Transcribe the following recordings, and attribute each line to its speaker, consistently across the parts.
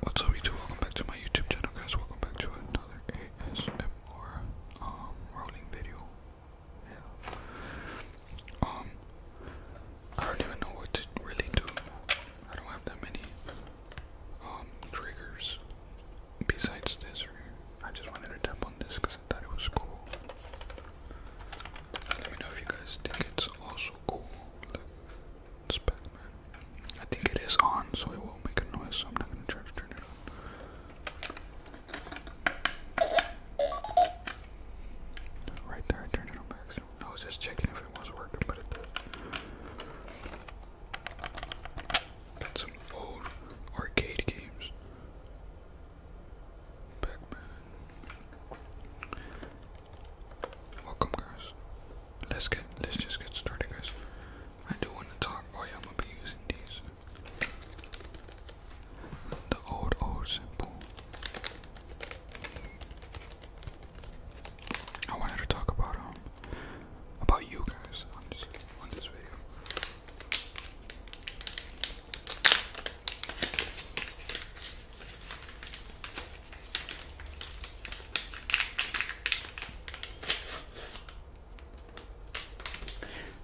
Speaker 1: What's up YouTube? Welcome back to my YouTube channel guys. Welcome back to another ASMR um, rolling video. Um I don't even know what to really do. I don't have that many um, triggers besides this I just wanted to tap on this because I thought it was cool. Let me know if you guys think it's also cool. It's I think it is on, so it won't make a noise, so I'm not gonna try to turn it on. Right there, I turned it on by I was just checking if it was working, but it did. Got some old arcade games. pac Welcome guys let's get let's just get started guys. I do want to talk boy oh I'm gonna be using these the old old simple I wanted to talk about um about you guys on this video.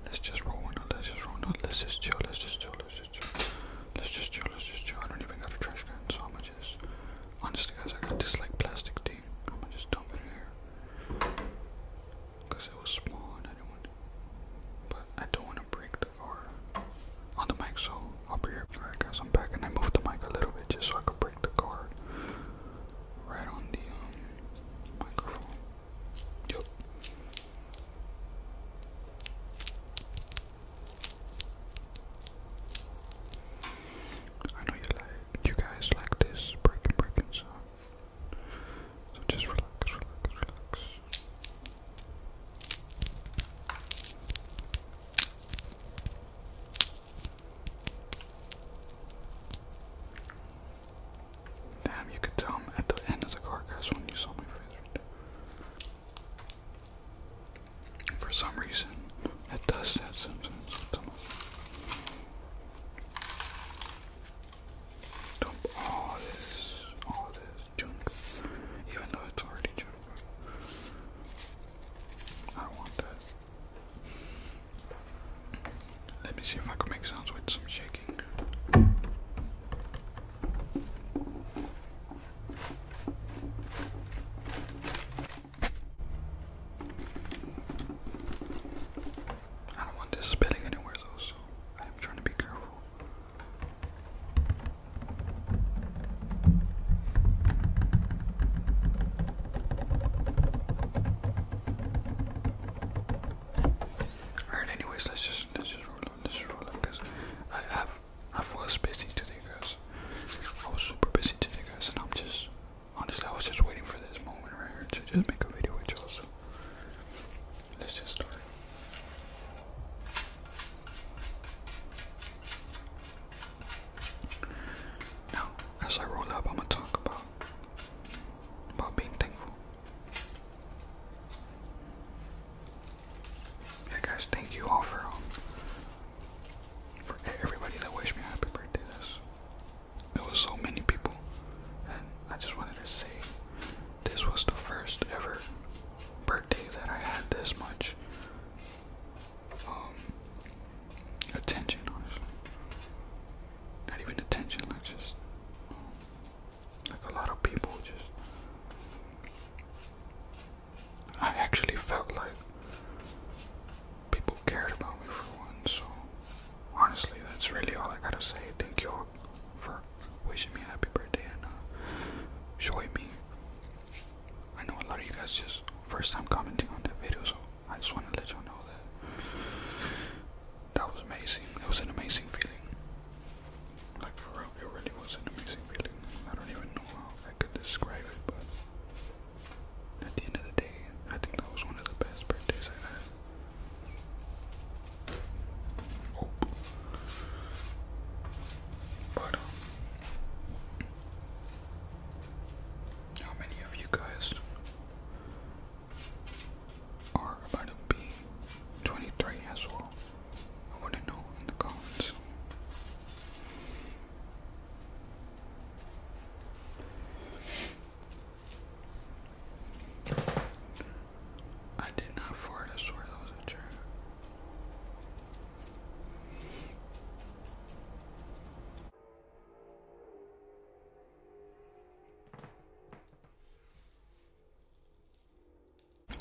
Speaker 1: Let's just roll one out, let's just roll one out, let's just chill, let's just chill, let's just chill. Let's just chill, let's just chill. I don't even got a trash can, so I'm gonna just honestly guys I got this like plastic thing. I'm gonna just dump it in here. Cause it was small and I didn't want to but I don't wanna break the car on the mic, so I'll be here. Alright guys, I'm back and I moved the mic a little bit just so I could break the card right on the um, microphone. Yep. I know you like you guys like this breaking breaking sound. So just relax, relax, relax. Damn, you could tell i at the end of the car, guys, when you saw my face. For some reason, it does that sometimes. Dump all this, all this junk, even though it's already junk. I want that. Let me see if I can make sounds with some shaking. I don't want this spilling anywhere though, so I'm trying to be careful. Alright, anyways, let's just let's just roll on, let's just roll on, cause I have I was busy today, guys. I was super busy today, guys, and I'm just honestly I was just waiting for this moment right here to just make a video with you let's just start. Now, as I roll up, I'm gonna talk about about being thankful. Yeah, guys, thank you all for um, for everybody that wished me happy birthday. This it was so many people, and I just wanted to say this was the first ever birthday that I had this much um, attention, Not even attention, like just um, like a lot of people just. I actually felt like people cared about me for one, so honestly, that's really all I gotta say. Thank you for wishing me happy birthday and uh, showing me I know a lot of you guys just first time commenting on that video, so I just want to let y'all know that that was amazing. It was an amazing feeling. Like for real, it really was an amazing feeling. I don't even know how I could describe it, but at the end of the day, I think that was one of the best birthdays I had. Oh. But um, how many of you guys are about to be 23 as well? I want to know in the comments. I did not fart, I swear that was a joke.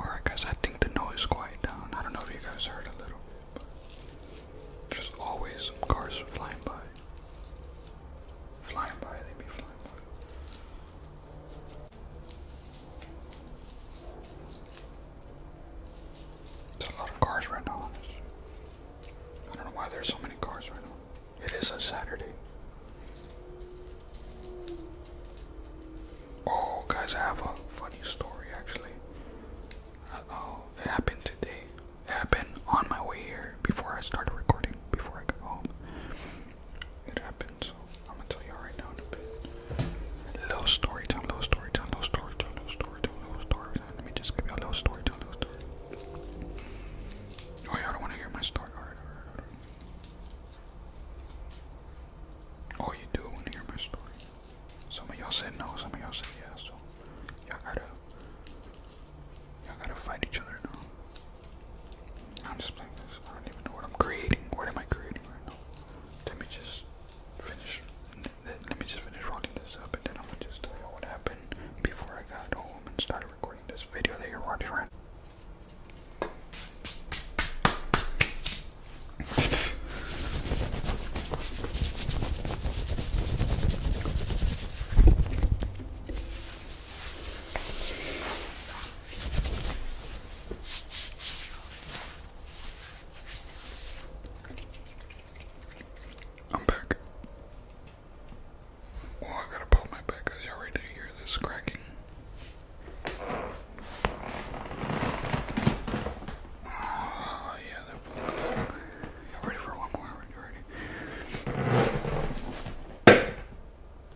Speaker 1: Alright guys, I think the noise quieted down. I don't know if you guys heard a little bit, there's always cars flying by. Flying by, they be flying by. There's a lot of cars right now. I don't know why there's so many cars right now. It is a Saturday. Oh, guys, I have a funny story actually. oh, it happened today. It happened on my way here before I started recording, before I got home it happened, I'm gonna tell y'all right now in a bit. Low story time, low story time, low story time, low story time, low story time. Let me just give y'all a low story time, Oh, y'all don't wanna hear my story. Alright, alright, alright. Oh, do want to hear my story. Some of y'all said no, some of y'all said yes. So y'all gotta, y'all gotta fight each other now. I'm just playing this. I don't even know what I'm creating. What am I creating right now? Let me just finish. Let me just finish rolling this up, and then I'm gonna just tell you what happened before I got home and started recording this video that you're watching I'm back. Well, oh, I gotta pop my back because y'all ready to hear this cracking. Oh, yeah, that you ready for one more? Ready, ready.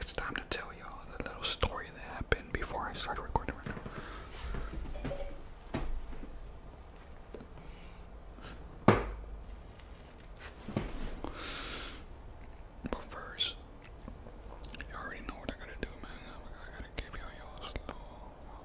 Speaker 1: It's time to tell y'all the little story that happened before I started recording But first, you already know what I gotta do, man. I gotta give y'all y'all slow,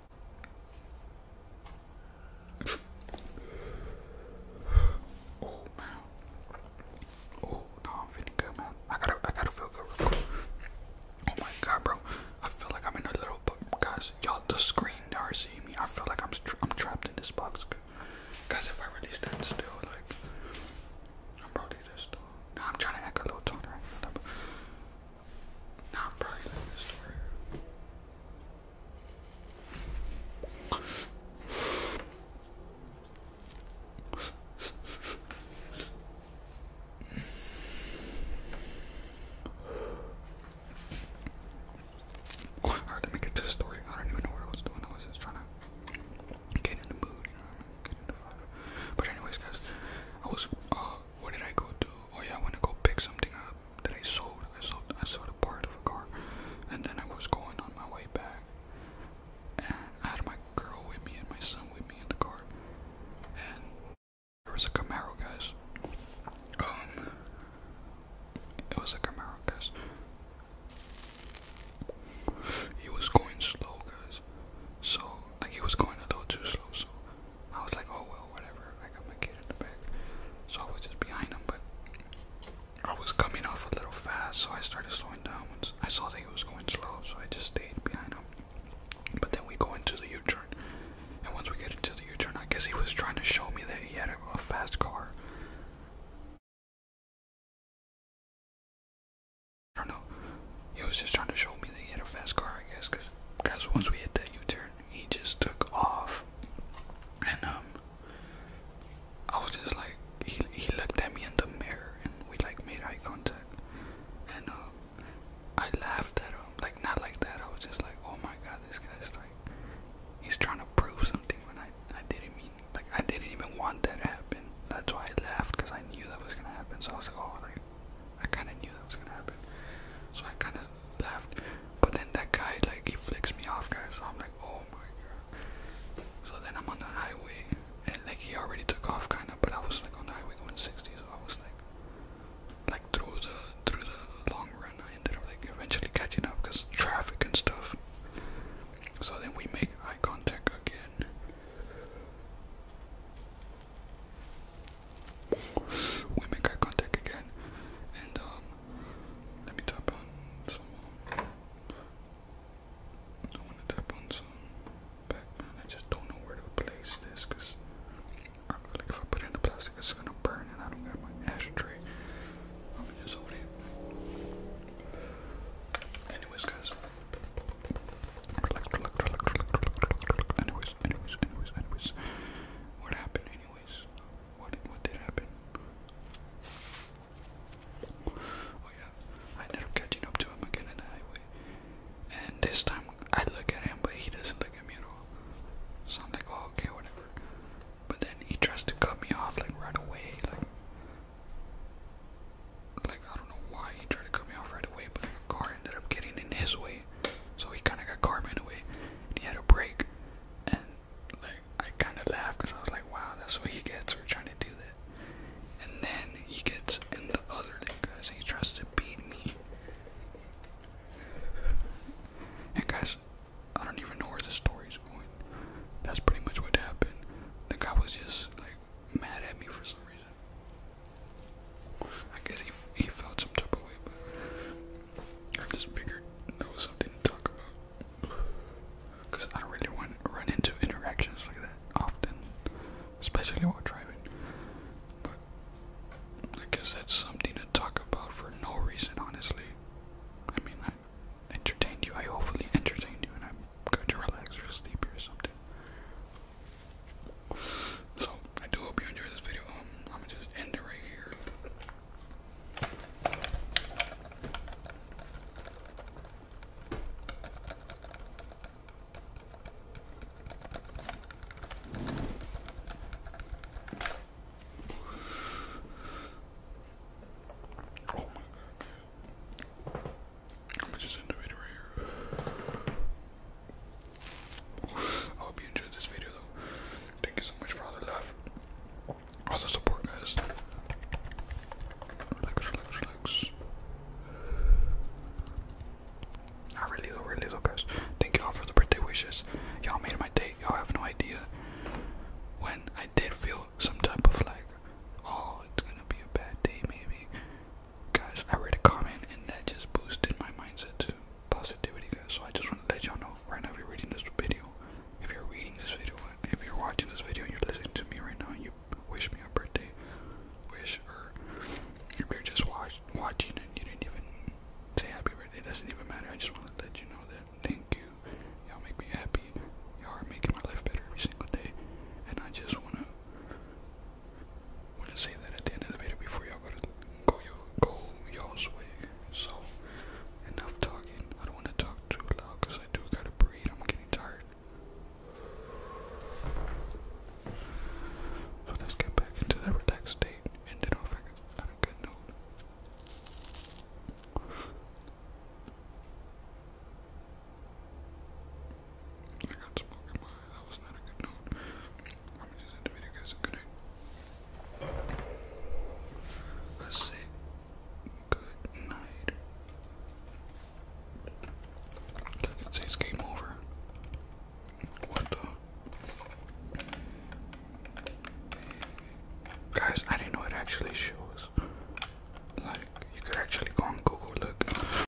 Speaker 1: oh man. Oh no, feeling good, man. I gotta, I gotta feel good. Real quick. Oh my god, bro. I feel like I'm in a little box, guys. Y'all, the screen are seeing me. I feel like I'm, I'm trapped in this box, guys. If I really stand still, like, I'm probably just. I'm trying to act a little taller. Not bright to make it to the story. I don't even know what I was doing. I was just trying to get in the mood, But anyways, guys, I was uh, what did I go do? Oh yeah, I went to go pick something up that I sold. I sold I sold a part of a car. And then I was going on my way back. And I had my girl with me and my son with me in the car. And there was a Camaro guys. Um it was a Camaro guys. He was going slow guys. So like he was going a little too slow so I was like, oh well, whatever. I got my kid in the back, so I was just behind him. But I was coming off a little fast, so I started slowing down. Once I saw that he was going slow, so I just stayed behind him. But then we go into the U-turn, and once we get into the U-turn, I guess he was trying to show me that he had a, fast car. I don't know. He was just trying to show me that he had a fast car, I guess, because once we hit that U-turn, he just took off, and um, I was just like, he he looked at me in the mirror, and we like made eye contact, and um, I laughed at him, like not like that. I was just like, oh my god, this guy's like, he's trying to prove something when I I didn't mean like I didn't even want that to happen. That's why I laughed because I knew that was gonna happen. So I was like, oh, like I kind of knew that was gonna happen. So I kind of but then that guy, like, he flicks me off, guys. So I'm like, oh my god. So then I'm on the highway, and like he already took off, kind of. But I was like on the highway going 60, so I was like, like through the through the long run, I ended up like eventually catching up because traffic and stuff. So then we make eye contact again we make eye contact again, and um, let me tap on some. Um, I want to tap on some Pac-Man. I just don't know where to place this, cause I feel like if I put it in the plastic, it's gonna burn, and I don't have my ashtray. I'm just hold it. Anyways, guys. Anyways, anyways, anyways, anyways. What happened, anyways? What what did happen? Oh yeah, I ended up catching up to him again in the highway, and this time I look at him, but he doesn't look at me at all. So I'm like, oh okay, whatever. But then he tries to cut me off like right away, like. Like I don't know why he tried to cut me off right away, but the car ended up getting in his way, so he kind of got Carmen away, and he had a break. And like I kind of laughed because I was like, "Wow, that's what he gets for trying to do that." And then he gets in the other league, because he tries to beat me. And guys, I don't even know where the story's going. That's pretty much what happened. The guy was just like mad at me for some reason. I guess he, he felt some type of way, but I just figured that was something to talk about. Because I don't really want run into interactions like that often, especially while driving. But I guess that's something to talk about for no reason, honestly. I mean, I entertained you. I hopefully entertained you, and I'm good to or sleep or something. So I do hope you enjoyed this video. Um, I'm gonna just end it right here. Oh my god. I'm just in the video right here. I hope you enjoyed this video though. Thank you so much for all the love, all the support, guys. Relax, relax, relax. Not really though, really though, guys. Thank you all for the birthday wishes. Y'all made my day. Y'all have no idea when I did feel some type of like, oh, it's gonna be a bad day maybe guys, I read a comment and that just boosted my mindset to positivity, guys. So I just want to let y'all know right now if you're reading this video, if you're reading this video, if you're watching this video and you're listening to me right now and you wish me a birthday wish, or if you're just watching and you didn't even say happy birthday, it doesn't even matter. I just want to let you know that thank you. Y'all make me happy. Y'all are making my life better every single day. And I just want to We'll say that at the end of the video before y'all go to go your go y'all's way. So enough talking. I don't want to talk too loud because I do gotta breathe. I'm getting tired. So let's get back into that relaxed state and then I'll a good note. I got smoke in my eye. That was not a good note. Let me just end the video, guys. Good night. Let's say good night. It says game over. What the? Guys, I didn't know it actually shows. Like, you could actually go on Google, look.